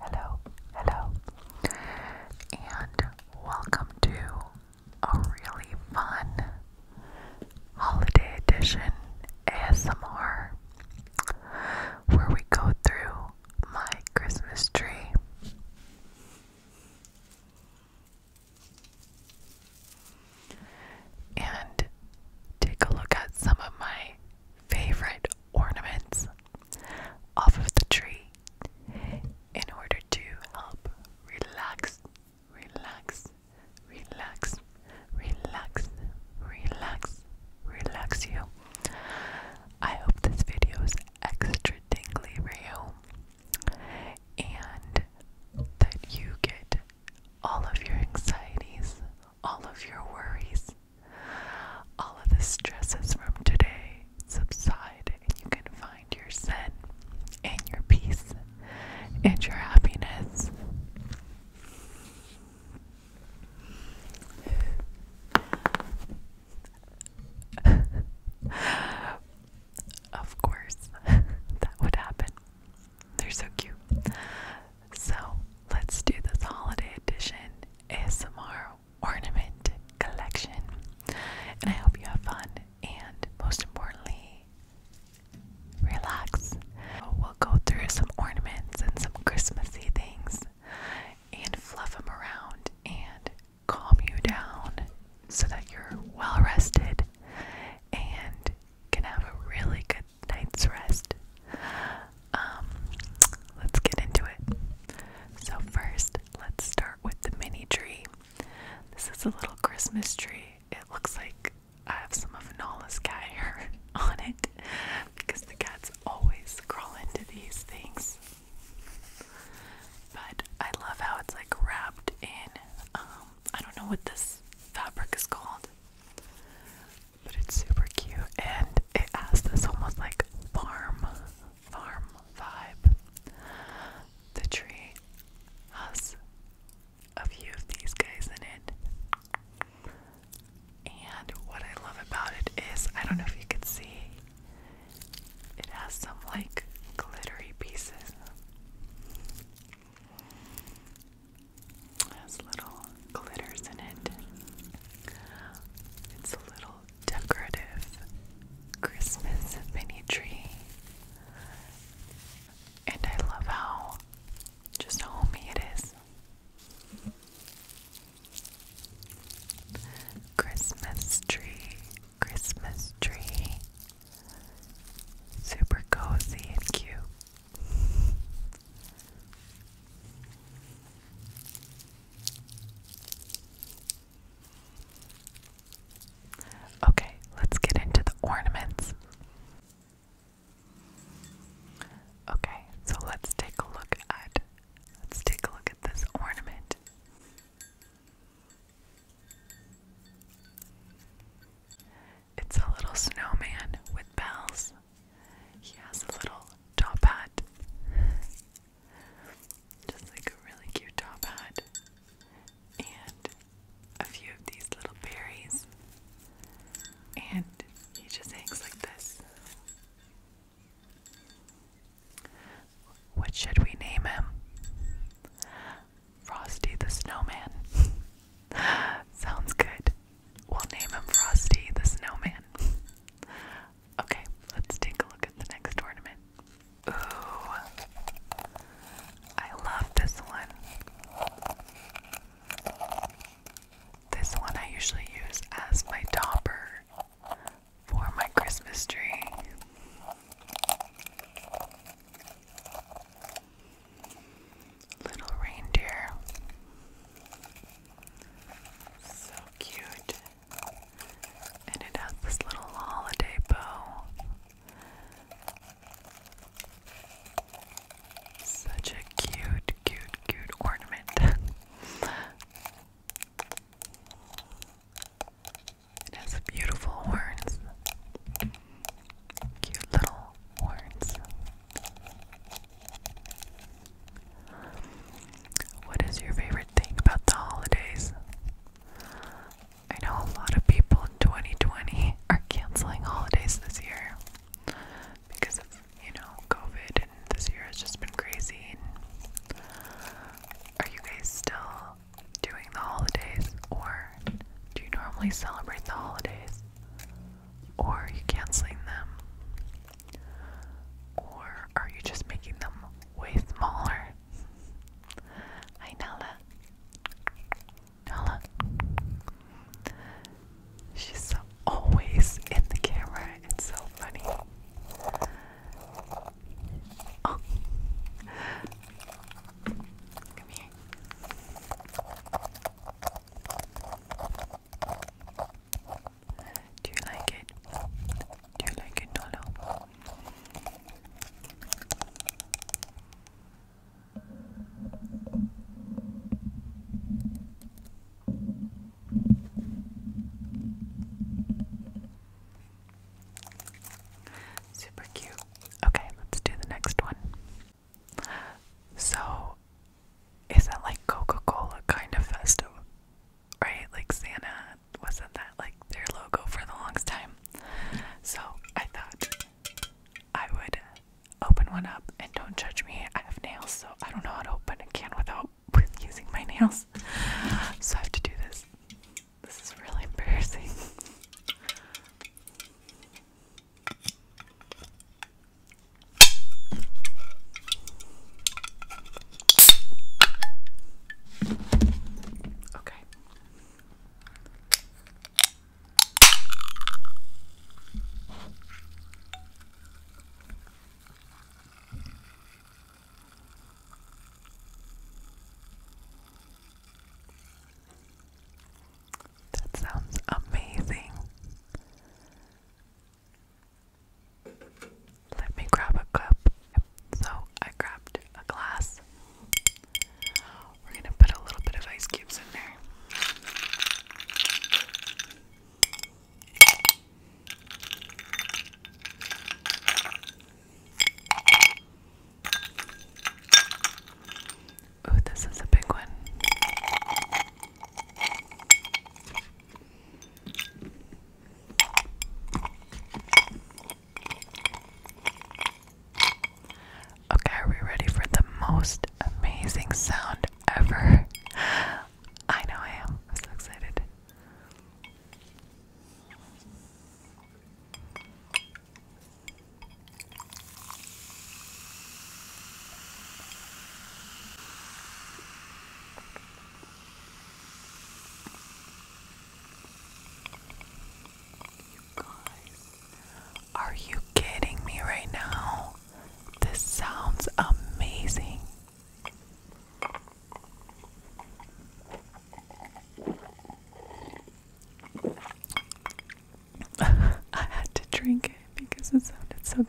hello, hello, and welcome to a really fun holiday edition ASMR where we go through my Christmas tree. And take a look at some of my favorite ornaments off of the tree in order to help relax, relax, relax, relax, relax, relax you. I hope this video is extra dingly real, and that you get all of your anxieties, all of your worries, all of the stresses from today subside, and you can find your zen and your peace and your happiness. of course, that would happen. They're so cute. So, let's do this holiday edition ASMR ornament collection. And I hope you have fun and most importantly, relax. We'll go through some ornaments and some Christmassy things and fluff them around and calm you down so that you're well rested and can have a really good night's rest um, let's get into it. So, first, let's start with the mini tree. This is a little Christmas tree. It looks like I have some of Nala's cat hair on it because the cats always crawl into these things. But I love how it's like wrapped in, um, I don't know what this fabric is called, but it's super cute and it has this almost like farm farm vibe. The tree has a few of these guys in it. And what I love about it is, I don't know if you can see, it has some like glittery pieces. It has little glitters in it. It's a little decorative Christmas mini tree. And I love how just homey it is. Christmas tree, Christmas tree. Super cozy and cute. Okay, let's get into the ornaments. Okay, so let's take a look at let's take a look at this ornament. It's a little snowman with bells. He has a little top hat just like a really cute top hat. And a few of these little berries. And he just hangs like this. What should we name him? Frosty the Snowman. Sounds good. We'll name him Frosty the Snowman. Okay, let's take a look at the next ornament. Ooh, I love this one. This one I usually use as my topper for my Christmas tree. Little reindeer. So cute and it has this little holiday bow. Such a cute, cute, cute ornament. it has beautiful horns. Cute little horns. What is your favorite thing about the holidays? I know a lot of people in 2020 are canceling holidays this year because of, you know, COVID, and this year has just been crazy. are you guys still doing the holidays, or do you normally celebrate the holidays, or are you canceling them? Or are you just making them way smaller? Hi, Nala. Nala. She's always in the camera. It's so funny. Oh. Come here. Do you like it? Do you like it, Nolo? Super cute. Okay, let's do the next one. So, is that like Coca Cola kind of festive? right? Like Santa wasn't that like their logo for the longest time. So I thought I would open one up and don't judge me. I have nails, so I don't know how to open a can without using my nails. So I have to do this. This is really embarrassing. Okay. That sounds amazing. Let me grab a cup. So I grabbed a glass. We're going to put a little bit of ice cubes in there. Oh, this is a big one. Okay, are we ready for the most amazing sound ever? I know I am. I'm so excited are you kidding me right now? This sounds amazing. I had to drink it because it sounded so good.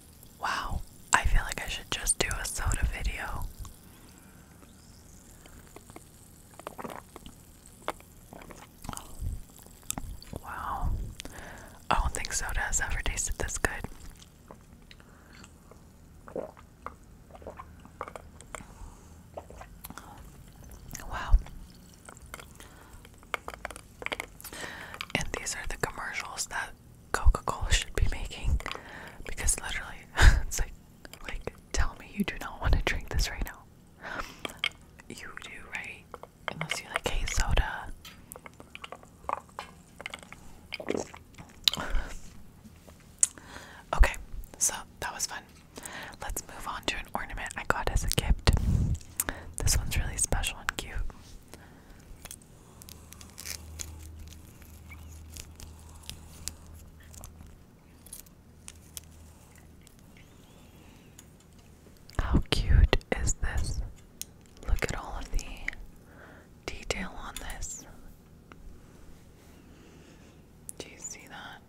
Wow, I feel like I should just do a soda video. Wow, I don't think soda has ever tasted this good. Wow. And these are the commercials that Coca-Cola should be making because literally it's like like tell me you do not want to drink this right now. You do, right? Unless you like hey soda. Okay, so that was fun. Let's move on to an ornament I got as a gift. This one's really special and cute. How cute is this? Look at all of the detail on this. Do you see that?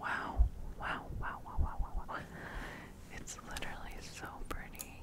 Wow, wow, wow, wow, wow, wow, It's literally so pretty.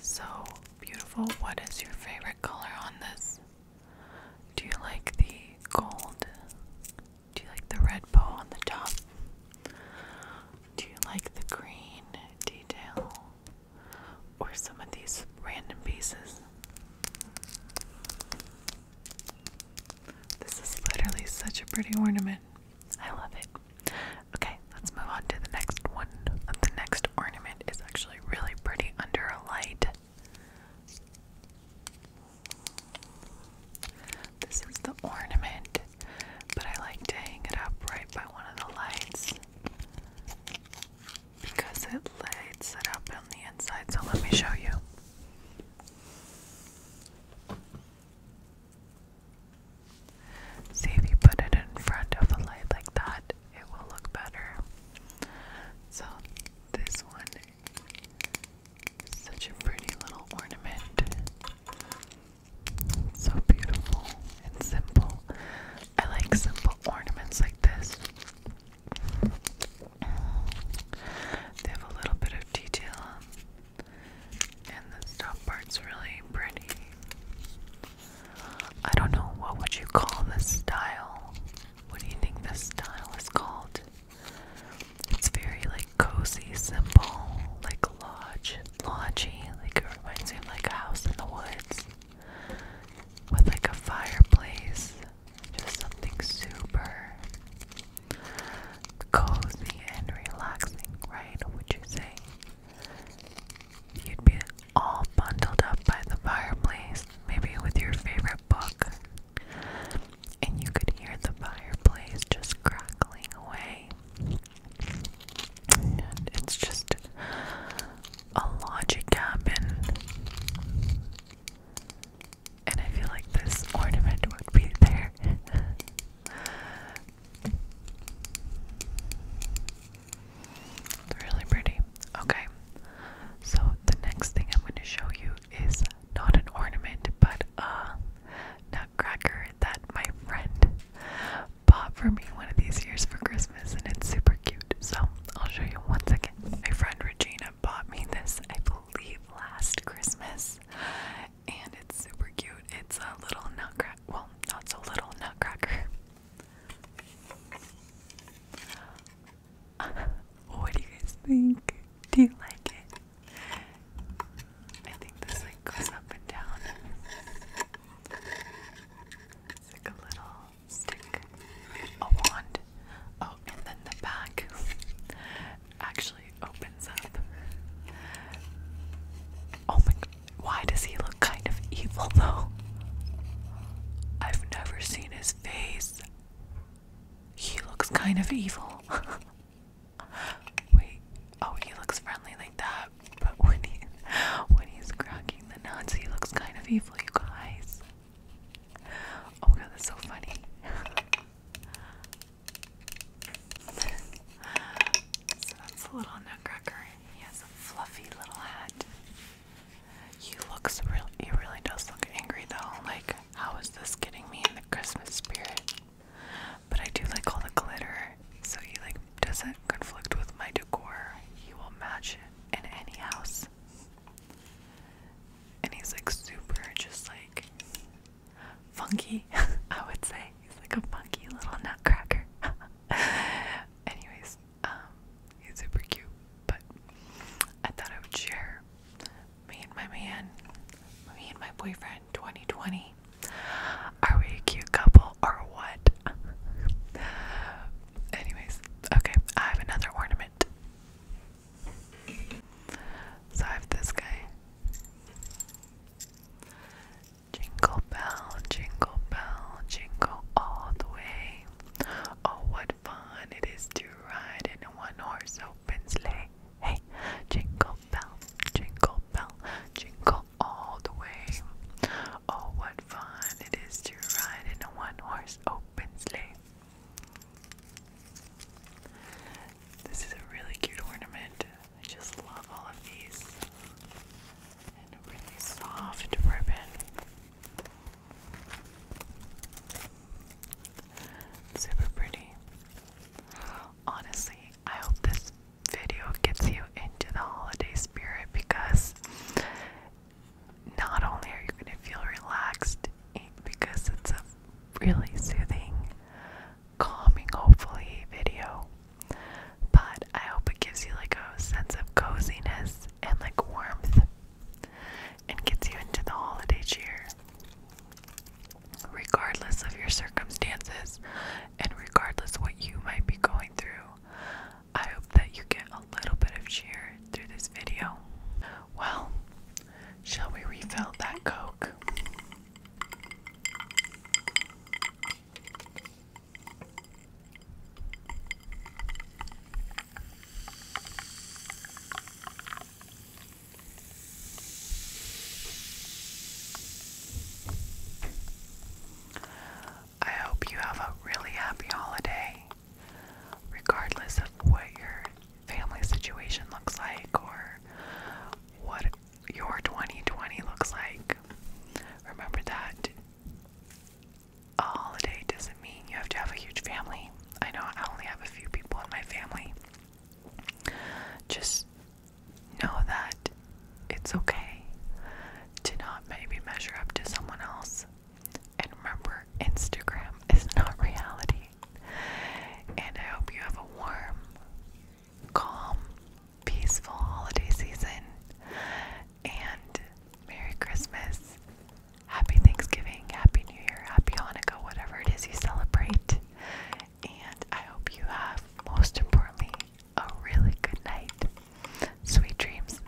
So beautiful. What is your favorite color on this? Do you like the gold? Do you like the red bow on the top? Do you like the green detail? Or some of these random pieces? This is literally such a pretty ornament. I love it. Okay, let's move on to the next one. The next ornament is actually really pretty under a light. This is the ornament, but I like to hang it up right by one of the lights because it lights it up on the inside. So let me show you. See if you put it in front of a light like that, it will look better. So, this one is such a pretty little ornament. So beautiful and simple. I like simple ornaments like this. They have a little bit of detail, and this top part's really pretty. I don't know what would you call this style. What do you think this style is called? It's very like cozy, simple, like lodge, lodgy. Like it reminds me like a house in the woods with like a fireplace just something super cozy and relaxing, right? Would you say? You'd be all bundled up by the fireplace, maybe with your favorite book, and you could hear the fireplace just crackling away. it's just a lodgy cabin and I feel like this ornament would be there. really pretty. Okay, so the next thing I'm going to show you is not an ornament, but a nutcracker that my friend bought for me one of these years for Christmas, and it's super cute. So I'll show you one second. My friend Regina bought me this, I believe, last Christmas, and it's super cute. It's a little nutcracker. Well, not so little nutcracker. what do you guys think? Do you like it? I think this like goes up and down. It's like a little stick, a wand. Oh, and then the back actually opens up. Oh my why does he look kind of evil though? I've never seen his face. He looks kind of evil. Wait, oh, he looks friendly like that, but when he when he's cracking the Nazi he looks kind of evil, you guys. Oh my god, that's so funny so that's a little nutcracker. He has a fluffy little hat. He looks real. He really does look angry though. Like, how is this getting me in the Christmas spirit? But I do like all the glitter, so he like doesn't conflict with my decor. He will match it in any house. And he's like super, just like funky, I would say. He's like a funky little nutcracker. Anyways, um, he's super cute, but I thought I would share me and my man, me and my boyfriend 2020. Are we a cute couple or what? Anyways, okay, I have another ornament. So I have this guy. Jingle bell, jingle bell, jingle all the way. Oh, what fun it is to ride in a one horse open sleigh. Hey, jingle bell, jingle bell, jingle all the way. Oh, what fun it is to ride in a one horse open sleigh. This is a really cute ornament. I just love all of these. And a really soft ribbon. Super pretty. Honestly, I hope this video gets you into the holiday spirit because not only are you going to feel relaxed, because it's a really soothing, calming, hopefully, video. But I hope it gives you like a sense of coziness and like warmth and gets you into the holiday cheer. Regardless of your circumstances and regardless what you might be going through, I hope that you get a little bit of cheer through this video. Well, Shall we refill that Coke? I hope you have a really happy holiday, regardless of what your family situation looks like or what your 2020 looks like. Remember that a holiday doesn't mean you have to have a huge family. I know I only have a few people in my family. Just know that it's okay to not maybe measure up to someone else. And remember, Instagram is not reality. And I hope you have a warm, calm, peaceful holiday season. And Merry Christmas, Happy Thanksgiving, Happy New Year, Happy Hanukkah, whatever it is you celebrate. And I hope you have, most importantly, a really good night. Sweet dreams.